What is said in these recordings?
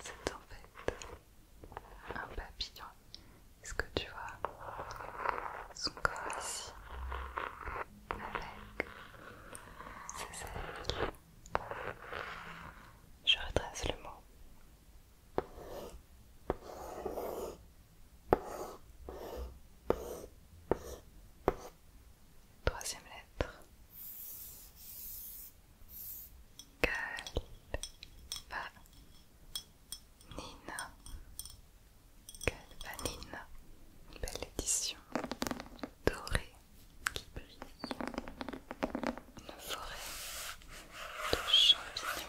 C'est en fait un papillon. Est-ce que tu vois son corps ici avec ses ailes Je retrace le mot. Troisième lettre. Galvanina. Nina Une belle édition dorée qui brille. Une forêt de champignons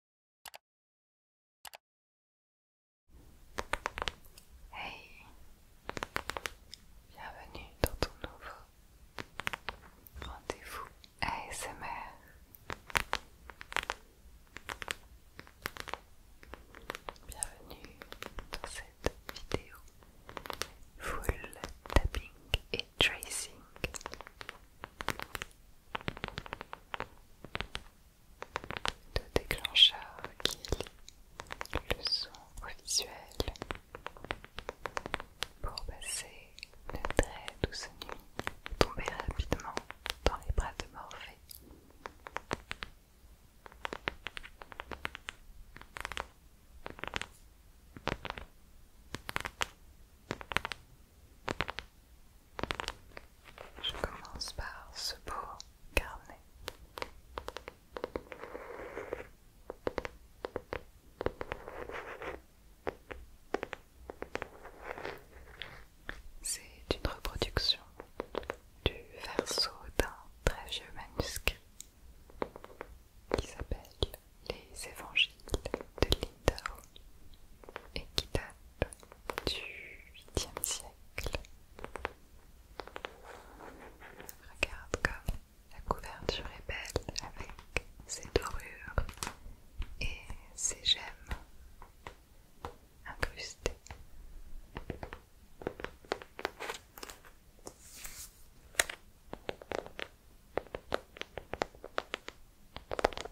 Hey, bienvenue dans ton nouveau rendez-vous ASMR. Bienvenue dans cette vidéo full tapping et tracing de déclencheur qui le son au visuel pour passer de très douce nuit, tomber rapidement dans les bras de Morphée. Je commence par ce beau carnet. C'est une reproduction du verso d'un très vieux manuscrit qui s'appelle Les Évangiles de Lindao et qui du 8e siècle. Regarde comme la couverture est belle avec ses dorures et ses gemmes incrustées.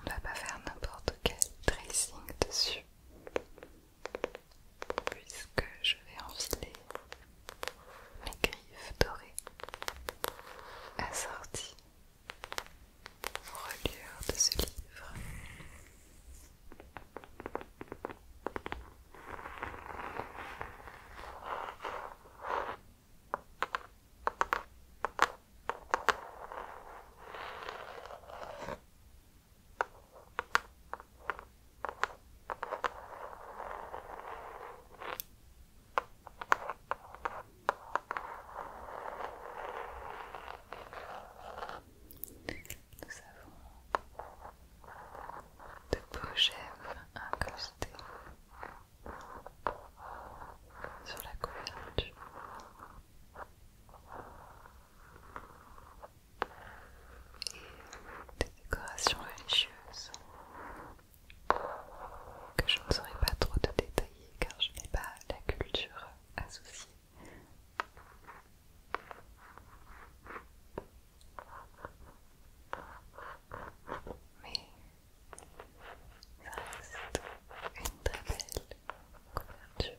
On va pas faire n'importe quel tracing dessus puisque je vais enfiler mes griffes dorées assorties aux reliures de ce livre. Nous avons de beaux chèvres incrustés sur la couverture et des décorations religieuses que je ne saurais pas trop te détailler car je n'ai pas la culture associée. Mais ça reste une très belle couverture.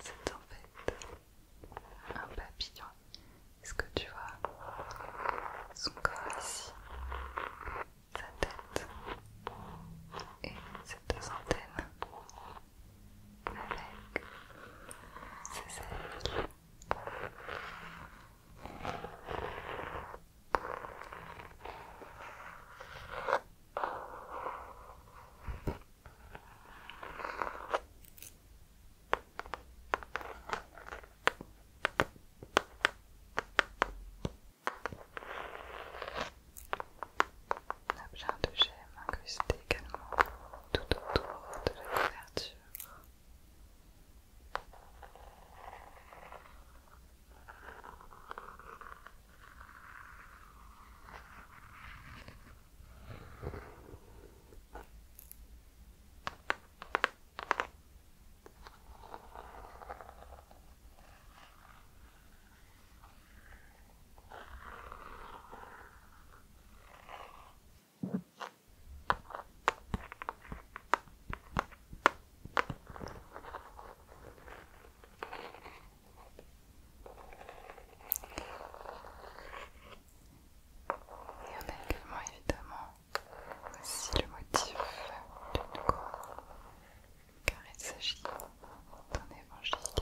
C'est en fait un papillon. Est-ce que tu vois son corps ici, sa tête et ses deux antennes avec c'est ailes. On a de gemmes incrusté également tout autour de la couverture. Et en a également évidemment aussi le motif d'une corps car il s'agit d'un évangile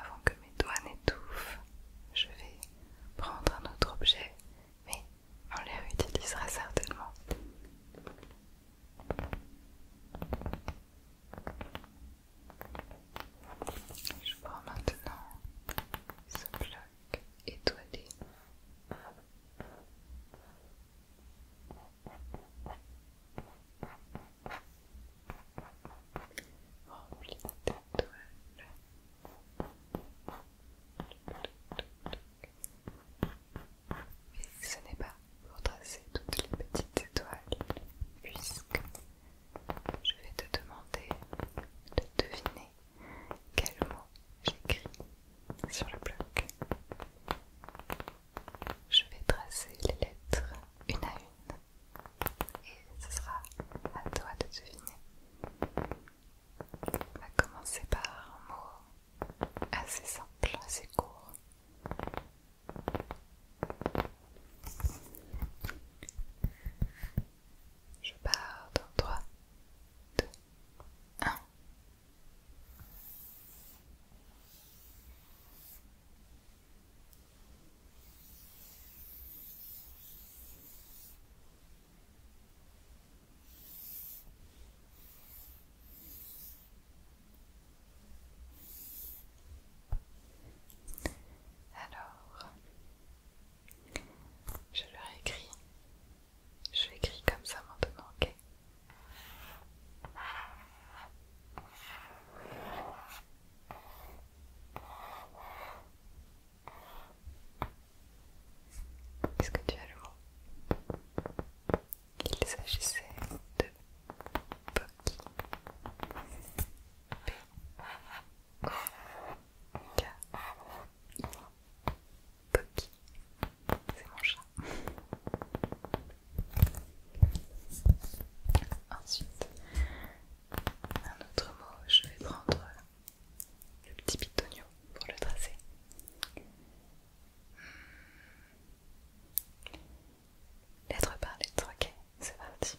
avant que mes doigts n'étouffent, je vais prendre un autre objet, mais on les réutilisera certainement. Je prends maintenant ce bloc étoilé. Rempli d'étoiles. Mais ce n'est pas pour tracer toutes les petites étoiles, puisque je vais te demander de deviner quel mot j'écris sur le bloc. Je vais tracer les lettres une à une et ce sera à toi de deviner. On va commencer par un mot assez simple, assez court. Je pars dans 3, 2, 1. Alors, je leur écris je l'écris comme ça maintenant, ok Est-ce que tu as le mot Il s'agissait de c'est mon chat. Ensuite, un autre mot, je vais prendre le petit bitonio pour le tracer. Hmm. Lettre par lettre, ok, c'est parti.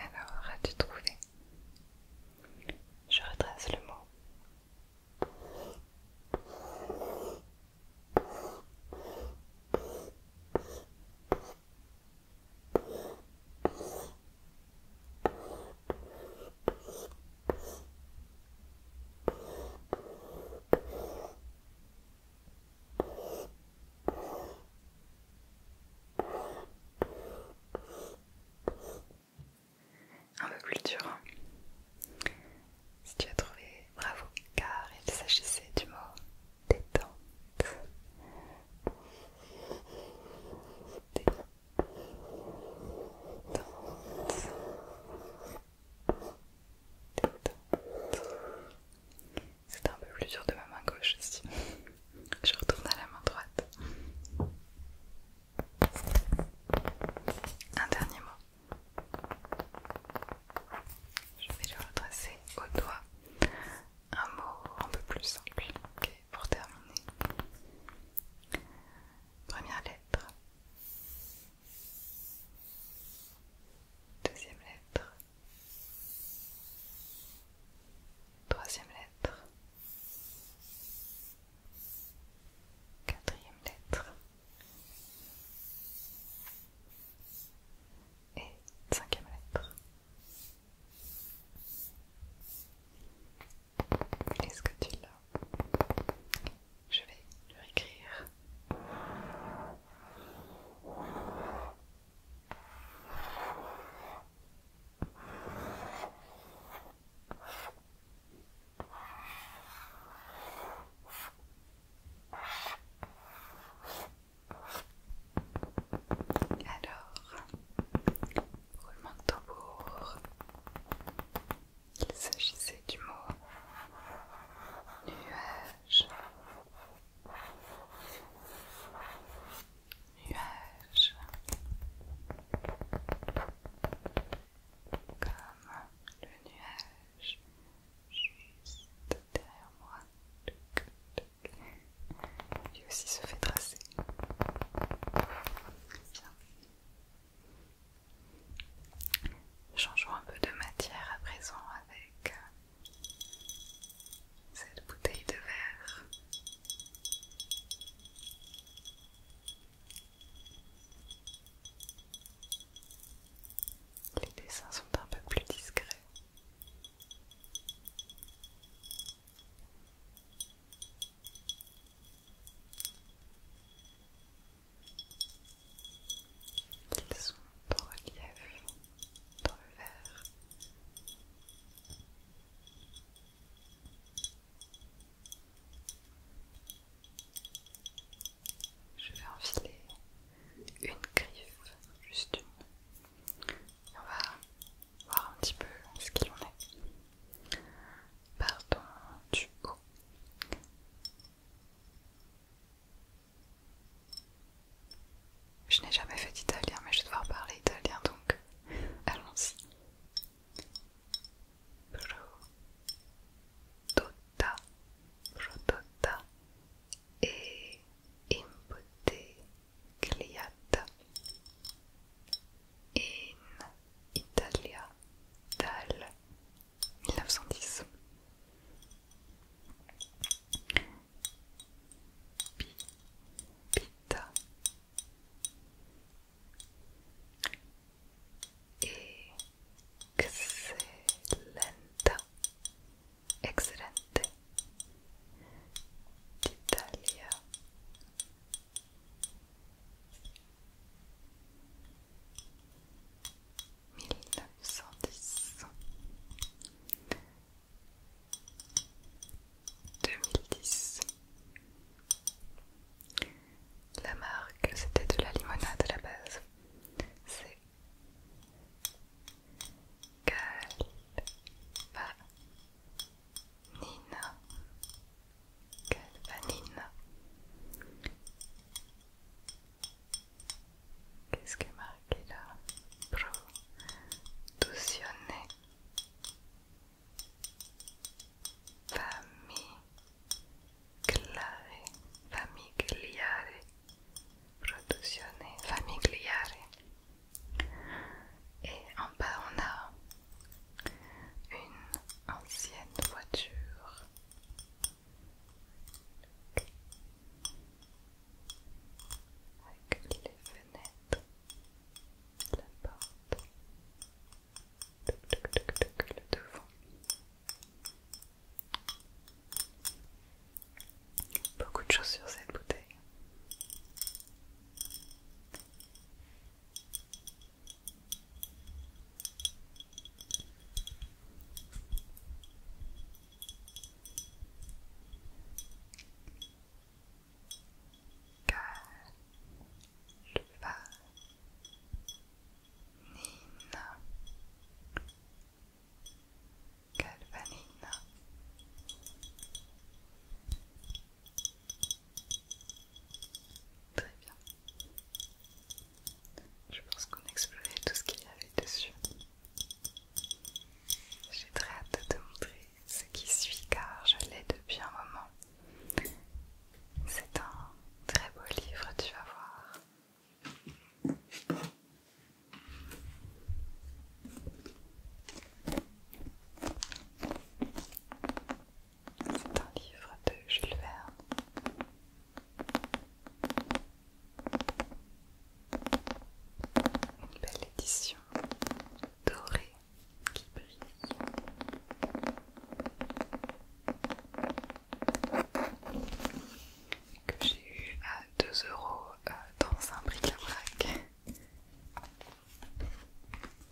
Alors, as-tu trouvé Je redresse le mot. Un peu culture. Si tu as trouvé, bravo, car il s'agissait du mot des Détente. C'est un peu plus dur de ma main gauche aussi. Je retourne à la main droite. Un dernier mot. Je vais le retracer au doigt. Un mot un peu plus simple. pour terminer. Première lettre. Deuxième lettre. Troisième lettre. Quatrième lettre. Et cinquième lettre. Est-ce que tu l'as je vais lui écrire. Alors, roulement de tambour. Il s'agissait du mot nuage. Nuage. Comme le nuage juste derrière moi. Lui aussi se fait tracer. Changeons un peu de matière à présent avec euh, cette bouteille de verre. Les dessins sont un peu plus discrets. Ils sont en relief dans le verre. Je vais enfiler une griffe, juste une. Et on va voir un petit peu ce qu'il en est. Pardon, du haut. Je n'ai jamais fait d'italien, mais je vais devoir parler italien donc allons-y. Prodotta, prodotta e gliata in Italia dal 1910. Pi, pita. Excellente. Excellente. D'Italia. 1910 2010 La marque c'était de la limonade à la base c'est Calva Nina vanine. Qu'est-ce qui est marqué là Produzione familiare, familiare, famille Famigliare. Et en bas, on a une ancienne voiture avec les fenêtres, la porte, le devant. Beaucoup de choses sur cette bouteille. Calvanina Calvanina Très bien. Je pense qu'on a exploré tout ce qu'il y avait dessus. J'ai très hâte de te montrer ce qui suit car je l'ai depuis un moment. C'est un très beau livre, tu vas voir. C'est un livre de Jules Verne. Une belle édition dorée qui brille. Que j'ai eu à 2 euros euh, dans un bric-à-brac.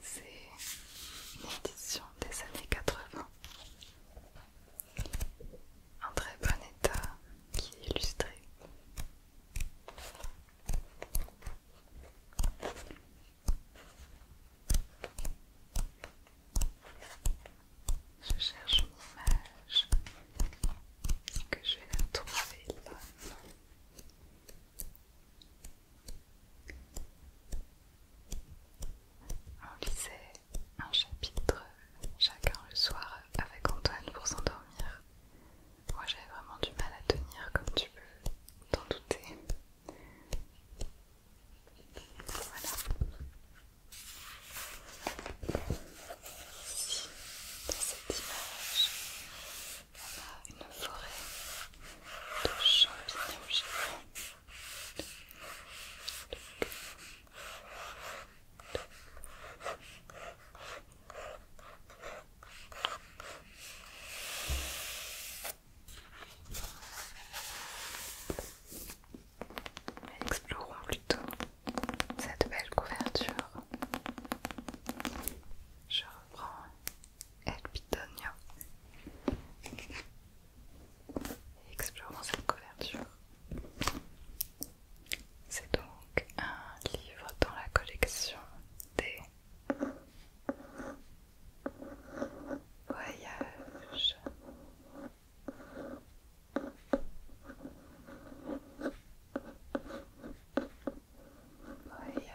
C'est une édition des années 80 un très bon état qui est illustré. Je cherche mon image. que je vais la trouver là on lisait un chapitre chacun le soir avec Antoine pour s'endormir. Moi j'avais vraiment du mal à tenir comme tu peux t'en douter. Voilà. Ici, dans cette image, on a une forêt de champignons géants. Explorons plutôt cette belle couverture. Je reprends El Explorons cette couverture. C'est donc un livre dans la collection des voyages. Voyage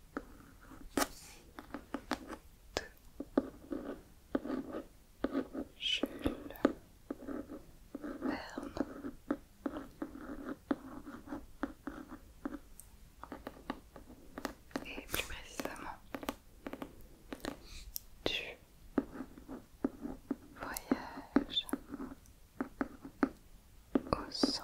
de Jules Verne. Et plus précisément du voyage au sang.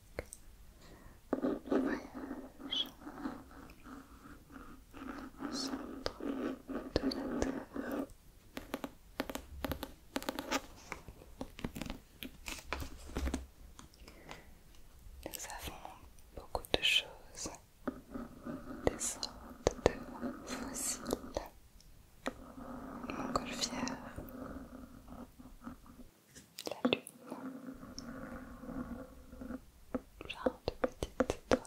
voyage au centre de la Terre. Nous avons beaucoup de choses, des sortes de fossiles golfière la lune. Genre de petite étoile.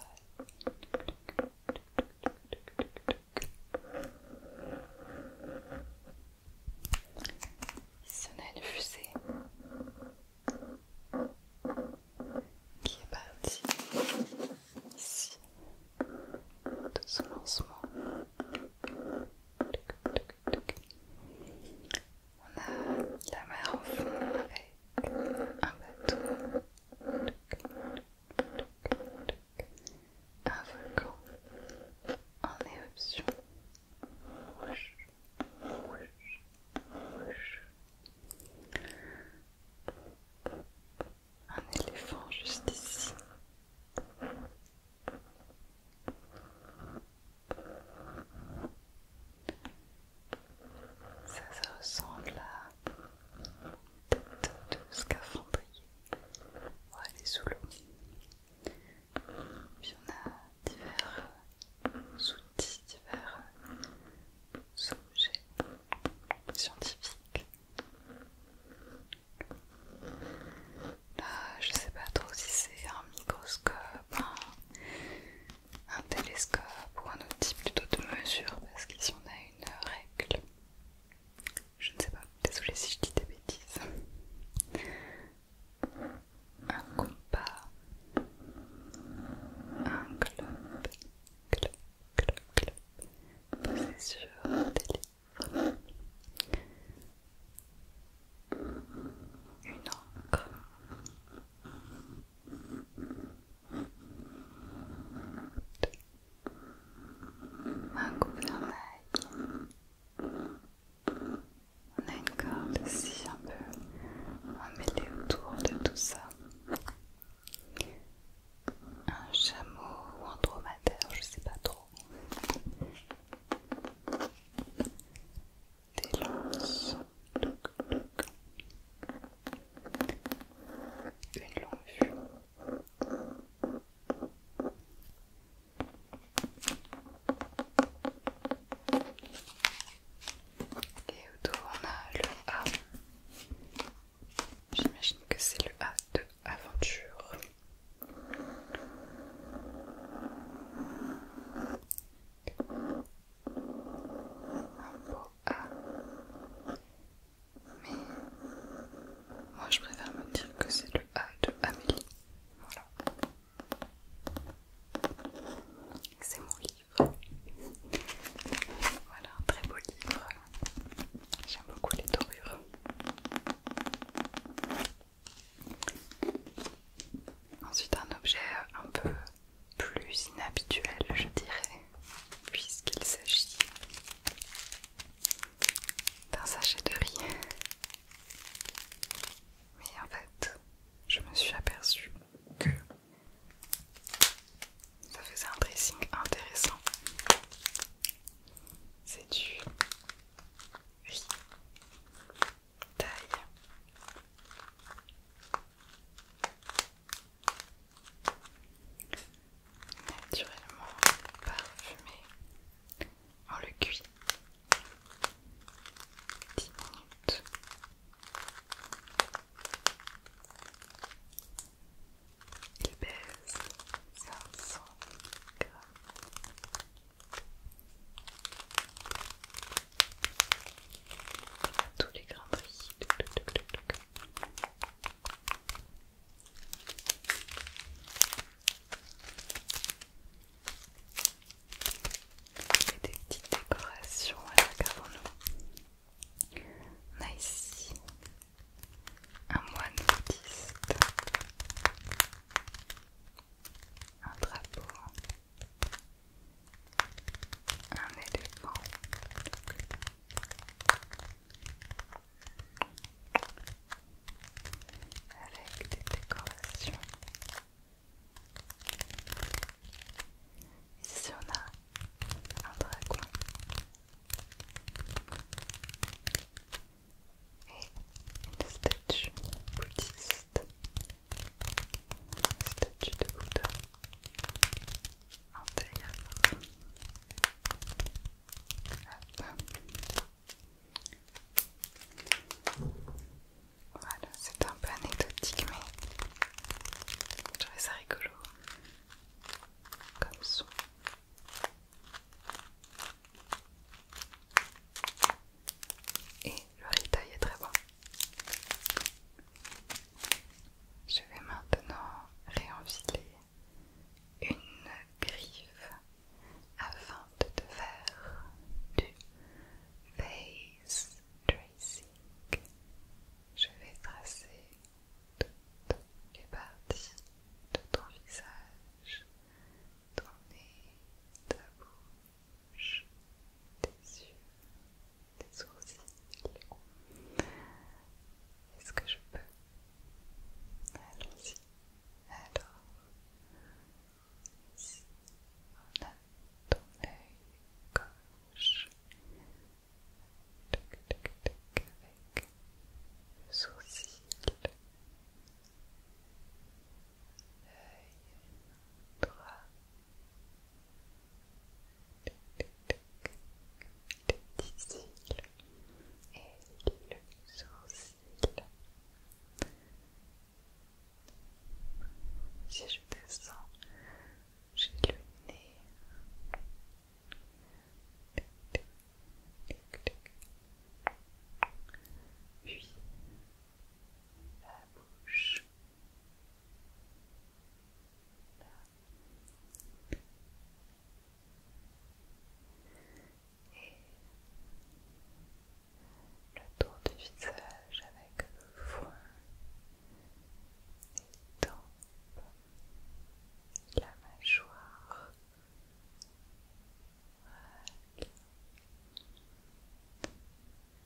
Il a une fusée qui est partie ici de son lancement. On a la mer au fond avec un bateau, un volcan en éruption, Un éléphant juste ici. Ça, ça ressemble à tête de scaphandrier. Ouais, elle est sous l'eau. Puis on a divers outils, divers objets scientifiques. Là, euh, je sais pas trop si c'est un microscope, un, télescope ou un autre type plutôt de mesure, parce qu'ici on a une règle. Je ne sais pas, désolée si je dis des bêtises. Un compas, un club, club, club, club, posé sur des une encre. Un gouvernail. On a une corde ici un peu autour de tout ça. Un chameau ou un dromadaire, je sais pas trop des Une longue vue. Et autour on a le A. J'imagine que c'est le A de aventure. Un beau A. Mais moi je préfère me dire que c'est le A de Amélie. Voilà. C'est mon livre. Voilà très beau livre. J'aime beaucoup les dorures. Ensuite un objet un peu plus inhabituel je dirais puisqu'il s'agit d'un sachet de riz. Mais en fait je me suis aperçue que ça faisait un dressing intéressant. C'est du riz taille. Naturellement parfumé. On le cuit 10 minutes. Il pèse 500 grammes. Tous les grands prix. des petites décorations à regardons-nous. On a ici un moine bouddhiste un drapeau, un éléphant, avec des décorations. Ici on a un dragon, et une statue bouddhiste, une statue de Bouddha intérieure. Voilà, c'est un peu anecdotique, mais je trouvais ça rigolo comme son. Et le retail est très bon. Je vais maintenant réenfiler une griffe afin de te faire du face tracing. Je vais tracer toutes les parties de ton visage nez, ta bouche, tes yeux, tes sourcils. Est-ce que je peux Allons-y. Alors, ici, on a ton œil gauche. Toc, toc, avec le sourcil l'œil droit. les petit cil et les sourcils, Si je descends, j'ai le nez puis la bouche, et le tour du visage avec le foin, les tempes, la mâchoire.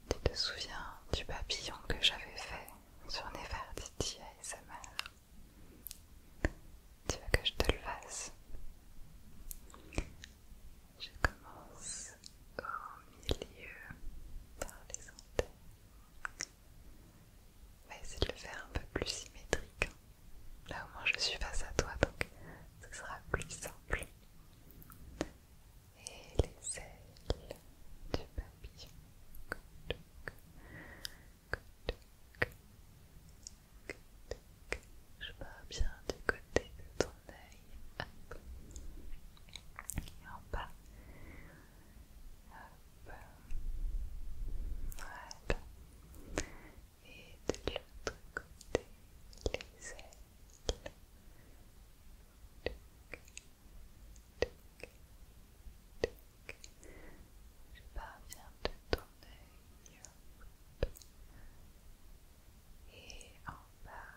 Tu te souviens du papillon que j'avais fait sur Nefertiti et sa mère Tu veux que je te le fasse Je commence au milieu par les antennes. On va essayer de le faire un peu plus symétrique. Hein. Là au moins je suis face à toi, donc ce sera plus simple. Et les ailes du papillon. Je pars bien du côté de ton œil. en bas et de l'autre côté les ailes. Je parviens de ton et en bas.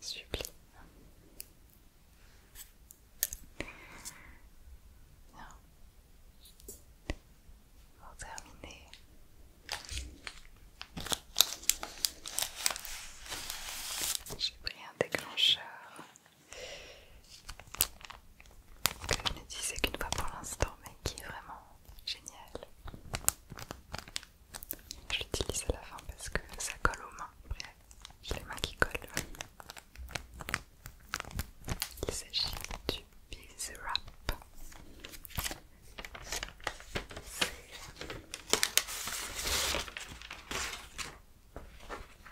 Sublime. Pour terminer, j'ai pris un déclencheur que je ne disais qu'une fois pour l'instant, mais qui est vraiment Génial. Je l'utilise à la fin parce que ça colle aux mains. Après, j'ai les mains qui collent. Il s'agit du bees Wrap.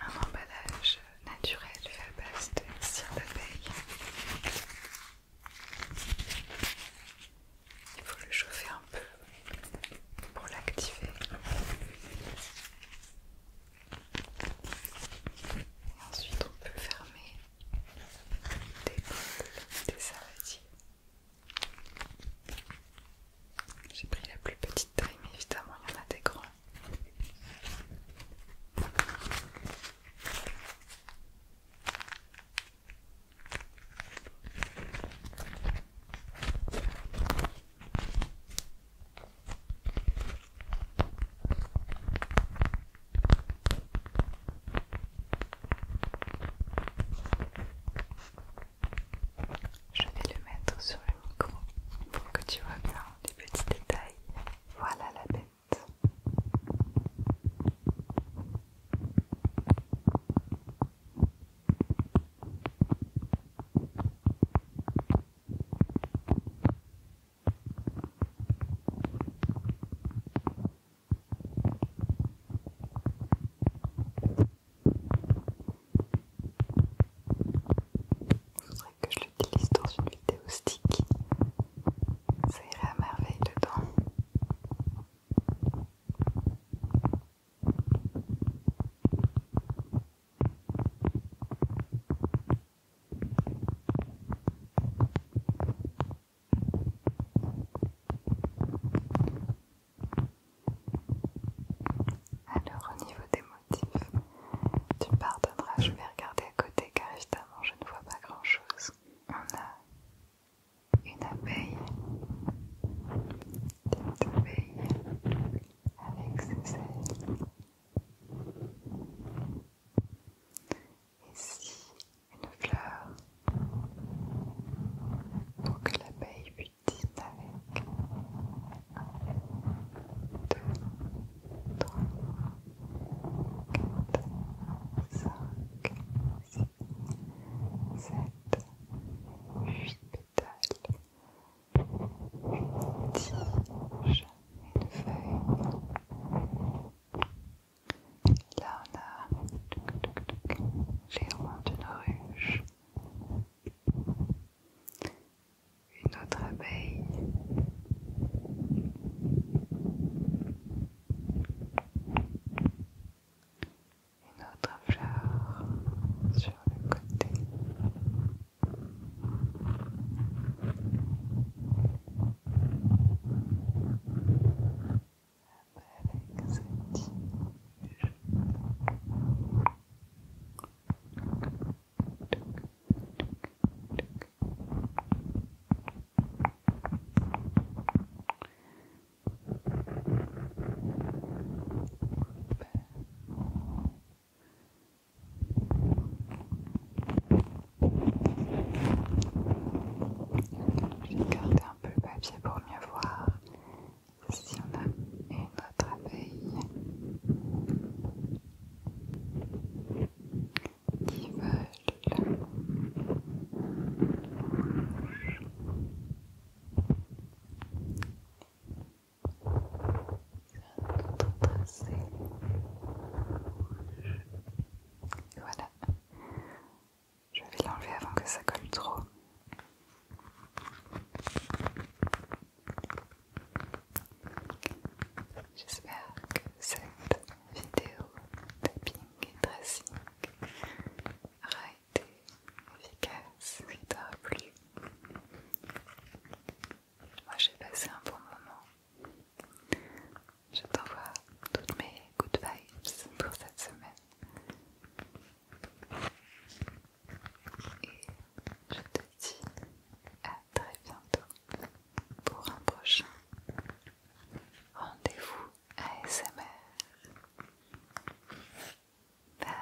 Un emballage naturel fait à base de cire d'abeille il faut le chauffer un peu pour l'activer. Ensuite, on peut fermer des des saladiers. J'ai pris la plus petite taille, mais évidemment, il y en a des grands. Je vais le mettre sur le micro pour que tu vois bien les petits détails. Voilà la tête. Il faudrait que je l'utilise dans une vidéo stick ça irait à merveille dedans. Alors au niveau des motifs, tu pardonneras, je vais regarder à côté car évidemment je ne vois pas grand chose on a une abeille, cette abeille avec ses ailes. Ici, une fleur pour que l'abeille butine avec. Deux, 3, 4, 5, 6, 7, 8 pétales, une tige, une feuille, là on a les ronds ruche, une autre abeille, une autre fleur sur le côté. J'ai gardé un peu le papier pour mieux voir si on a une autre abeille qui veulent voilà je vais l'enlever avant que ça colle trop j'espère que c'est vidéo tapping et dressing aura été efficace, et t'aura plu. Moi j'ai passé un bon moment. Je t'envoie toutes mes good vibes pour cette semaine. Et je te dis à très bientôt pour un prochain rendez-vous ASMR. Bye.